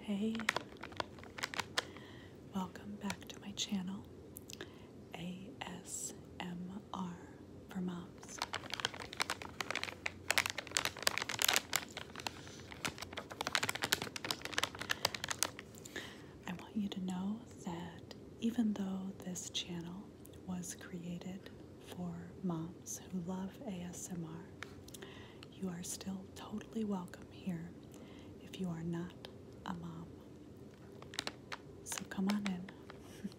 Hey, welcome back to my channel ASMR for Moms. I want you to know that even though this channel was created for moms who love ASMR. You are still totally welcome here if you are not a mom. So come on in.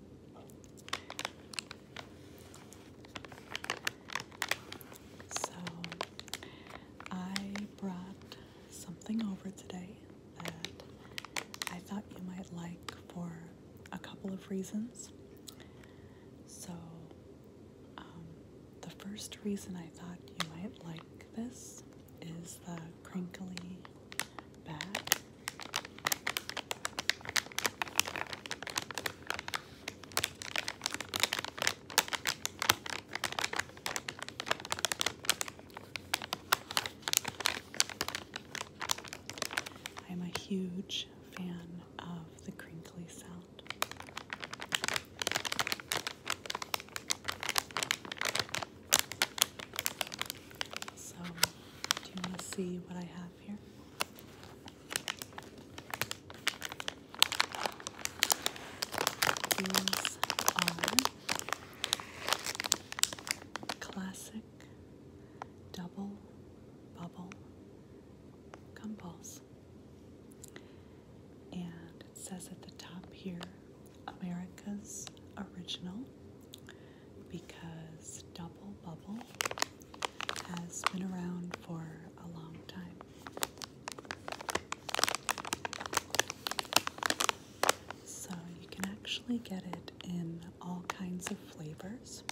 so I brought something over today I thought you might like for a couple of reasons. So, um, the first reason I thought you might like this is the crinkly back. I'm a huge fan of the crinkly sound. So, do you want to see what I have here? These are classic double bubble gumballs. And it says at the top here America's Original because double bubble has been around for a long time. So you can actually get it in all kinds of flavors,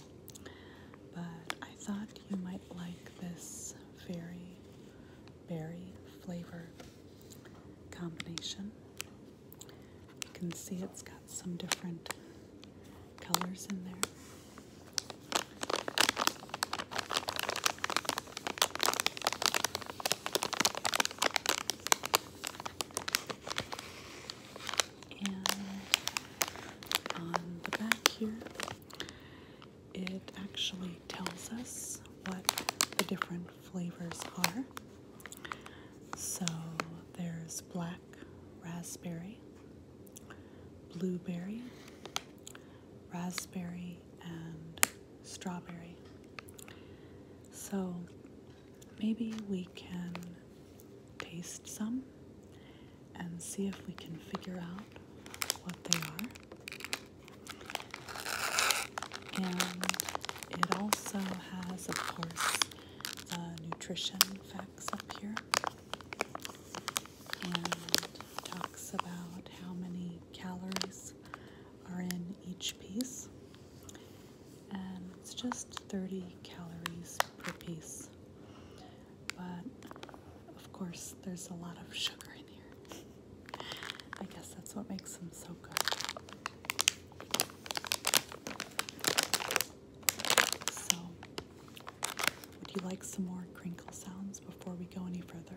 but I thought you might like this very berry flavor combination. You can see it's got some different colors in there and on the back here it actually tells us what the different flavors are. So there's black raspberry, blueberry, raspberry, and strawberry. So maybe we can taste some and see if we can figure out what they are. And it also has, of course, uh, nutrition facts up here and talks about how many calories are in each piece and um, it's just 30 calories per piece. But of course, there's a lot of sugar in here. I guess that's what makes them so good. So, would you like some more crinkle sounds before we go any further?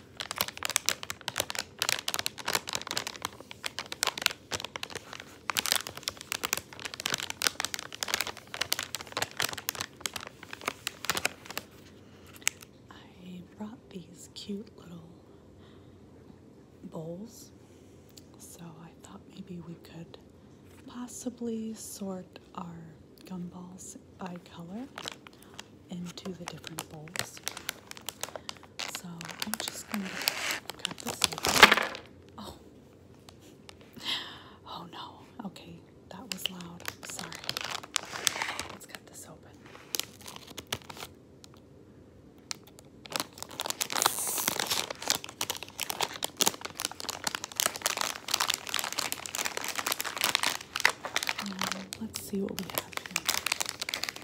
I brought these cute little bowls, so I thought maybe we could possibly sort our gumballs by color into the different bowls. So I'm just going to cut this open. Oh. Oh no. Okay, that was loud. sorry. Let's cut this open. Um, let's see what we have here.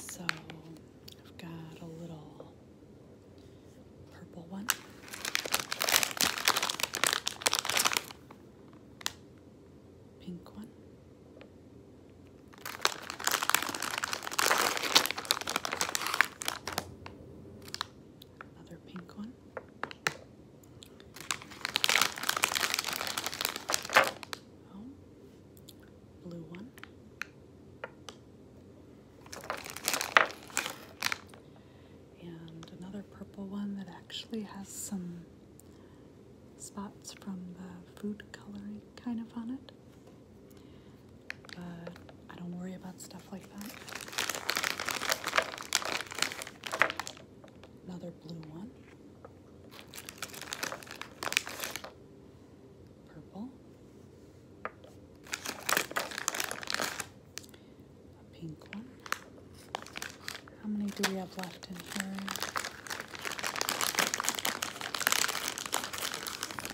So I've got a little purple one. Pink one. Another pink one. Oh, blue one. And another purple one that actually has some spots from the food coloring kind of on it. But I don't worry about stuff like that. Another blue one. Purple. A pink one. How many do we have left in here?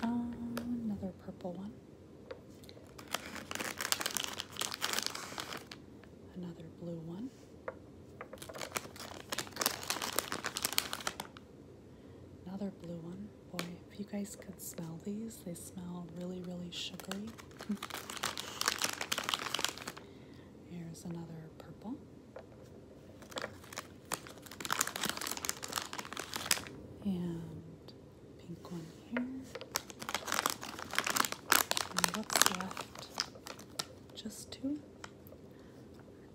Um, another purple one. Another blue one. Another blue one. Boy, if you guys could smell these, they smell really, really sugary. Here's another purple. And pink one here. And what's just two.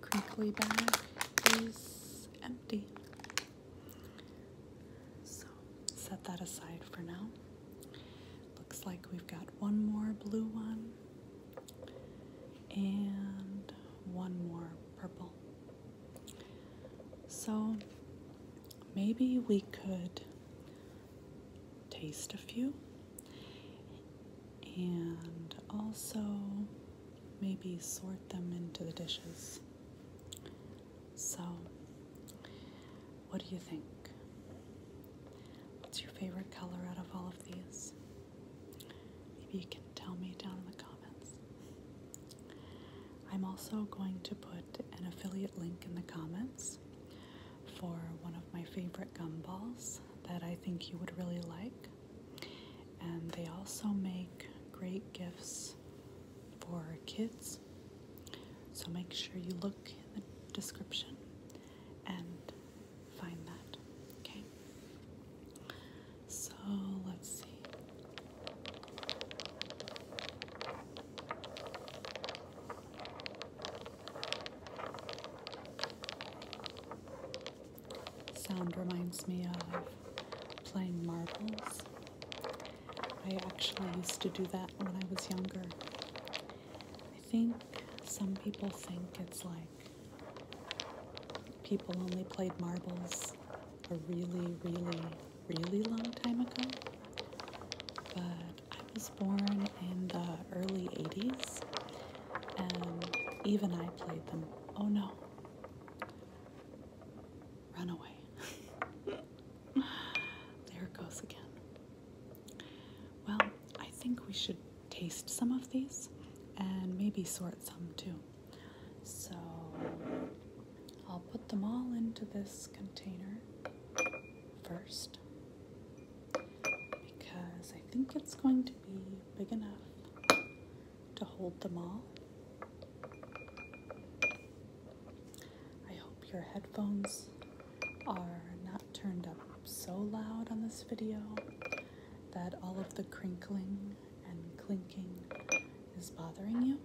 Our crinkly bag is empty. So set that aside for now. Looks like we've got one more blue one and one more purple. So maybe we could taste a few and also maybe sort them into the dishes. So, what do you think? What's your favorite color out of all of these? Maybe you can tell me down in the comments. I'm also going to put an affiliate link in the comments for one of my favorite gumballs that I think you would really like. And they also make great gifts for kids. So make sure you look in the description and find that. Okay? So let's see. Sound reminds me of playing marbles. I actually used to do that when I was younger. I think some people think it's like people only played marbles a really, really, really long time ago. But I was born in the early 80s, and even I played them. Oh no. Run away. there it goes again. Well, I think we should taste some of these and maybe sort some too. So I'll put them all into this container first because I think it's going to be big enough to hold them all. I hope your headphones are not turned up so loud on this video that all of the crinkling and clinking is bothering you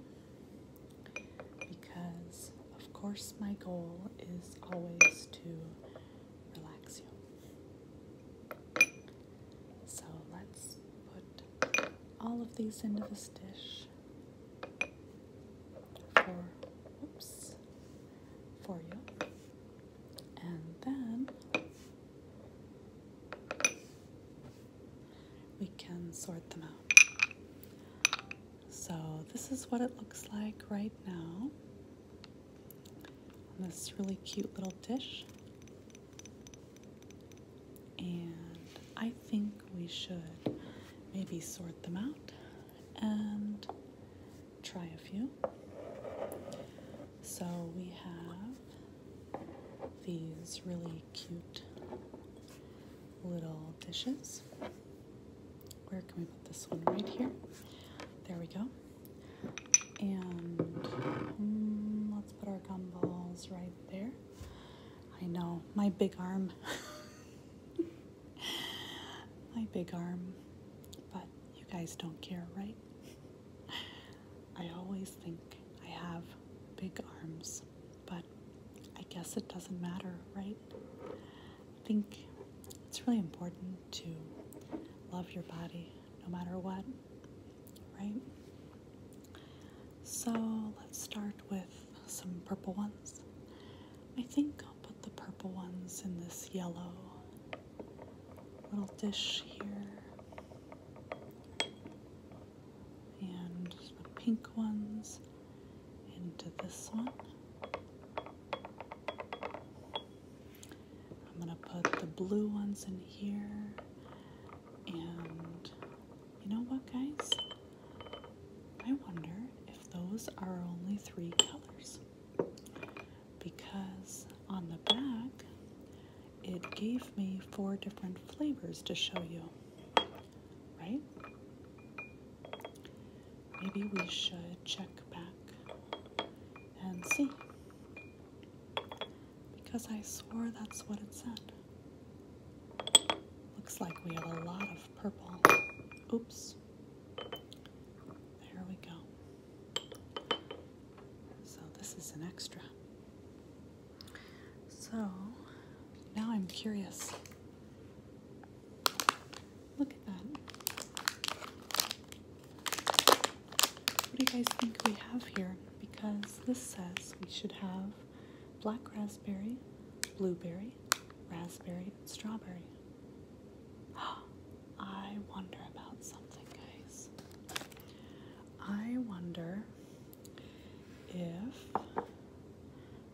because of course, my goal is always to relax you. So let's put all of these into this dish for, oops, for you. And then we can sort them out. So, this is what it looks like right now on this really cute little dish. And I think we should maybe sort them out and try a few. So, we have these really cute little dishes where can we put this one? Right here. There we go. And hmm, let's put our gumballs right there. I know, my big arm. my big arm. But you guys don't care, right? I always think I have big arms, but I guess it doesn't matter, right? I think it's really important to love your body no matter what, right? So let's start with some purple ones. I think I'll put the purple ones in this yellow little dish here. And the pink ones into this one. I'm going to put the blue ones in here. And you know what, guys? I wonder if those are only three colors. Because on the back, it gave me four different flavors to show you, right? maybe we should check back and see. Because I swore that's what it said. Looks like we have a lot of purple. Oops. There we go. So this is an extra. So now I'm curious. Look at that. What do you guys think we have here? Because this says we should have black raspberry, blueberry, raspberry, and strawberry. I wonder about something, guys. I wonder if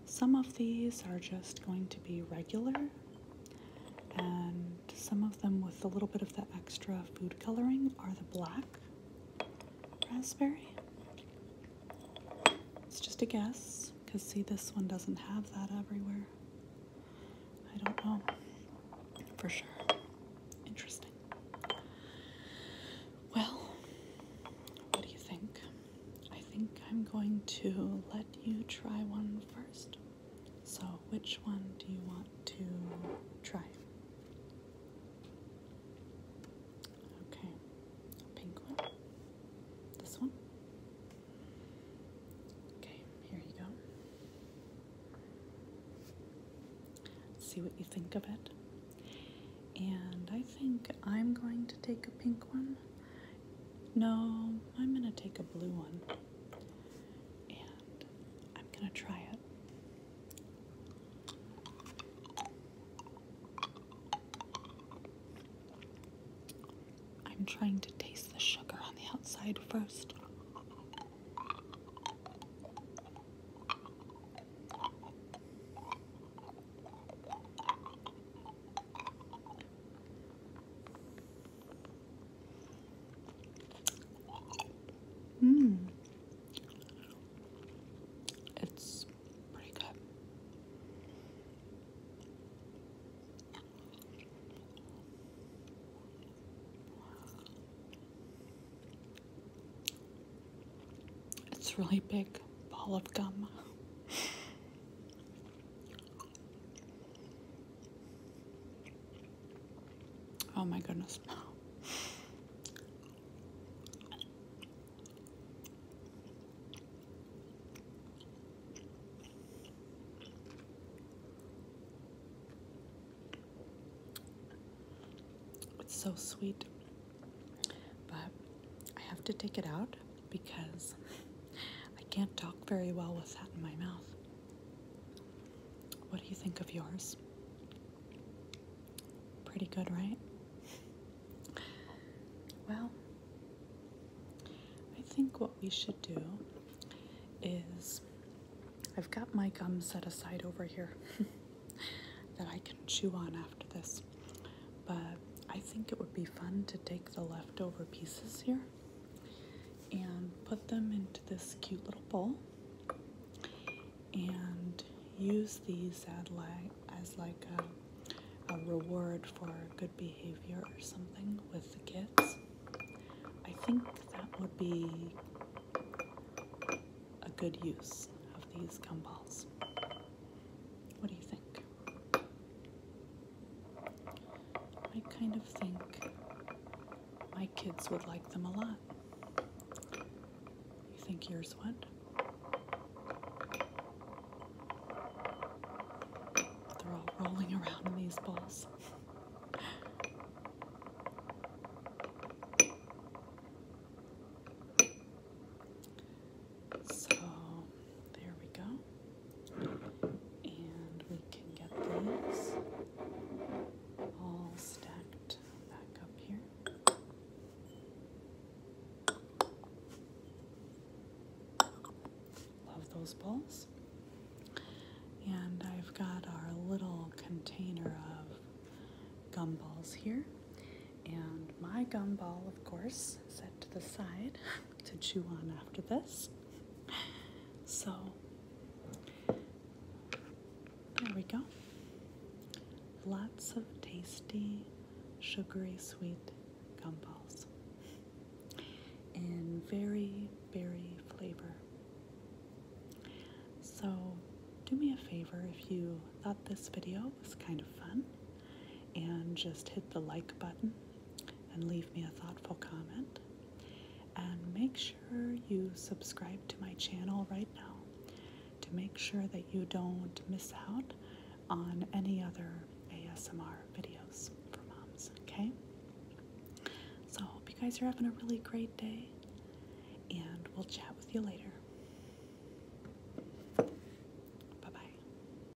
some of these are just going to be regular, and some of them with a little bit of the extra food coloring are the black raspberry. It's just a guess, because see, this one doesn't have that everywhere. I don't know for sure. Interesting. Well, what do you think? I think I'm going to let you try one first. So, which one do you want to try? Okay, pink one. This one? Okay, here you go. See what you think of it. And I think I'm going to take a pink one no, I'm going to take a blue one and I'm going to try it. I'm trying to taste the sugar on the outside first. Mmm. It's pretty good. It's really big ball of gum. Oh my goodness. It's so sweet, but I have to take it out because I can't talk very well with that in my mouth. What do you think of yours? Pretty good, right? Well, I think what we should do is I've got my gum set aside over here that I can chew on after this but I think it would be fun to take the leftover pieces here and put them into this cute little bowl and use these as like, as like a, a reward for good behavior or something with the kids. I think that would be a good use of these gumballs. What do you think? I kind of think my kids would like them a lot. You think yours would? They're all rolling around in these balls. So there we go. And we can get these all stacked back up here. Love those bowls. And I've got our little container of gumballs here. And my gumball, of course, set to the side. to chew on after this. So there we go. Lots of tasty, sugary, sweet gumballs. And very berry flavor. So do me a favor if you thought this video was kind of fun and just hit the like button and leave me a thoughtful comment. And make sure you subscribe to my channel right now to make sure that you don't miss out on any other ASMR videos for moms, okay? So, I hope you guys are having a really great day, and we'll chat with you later. Bye bye.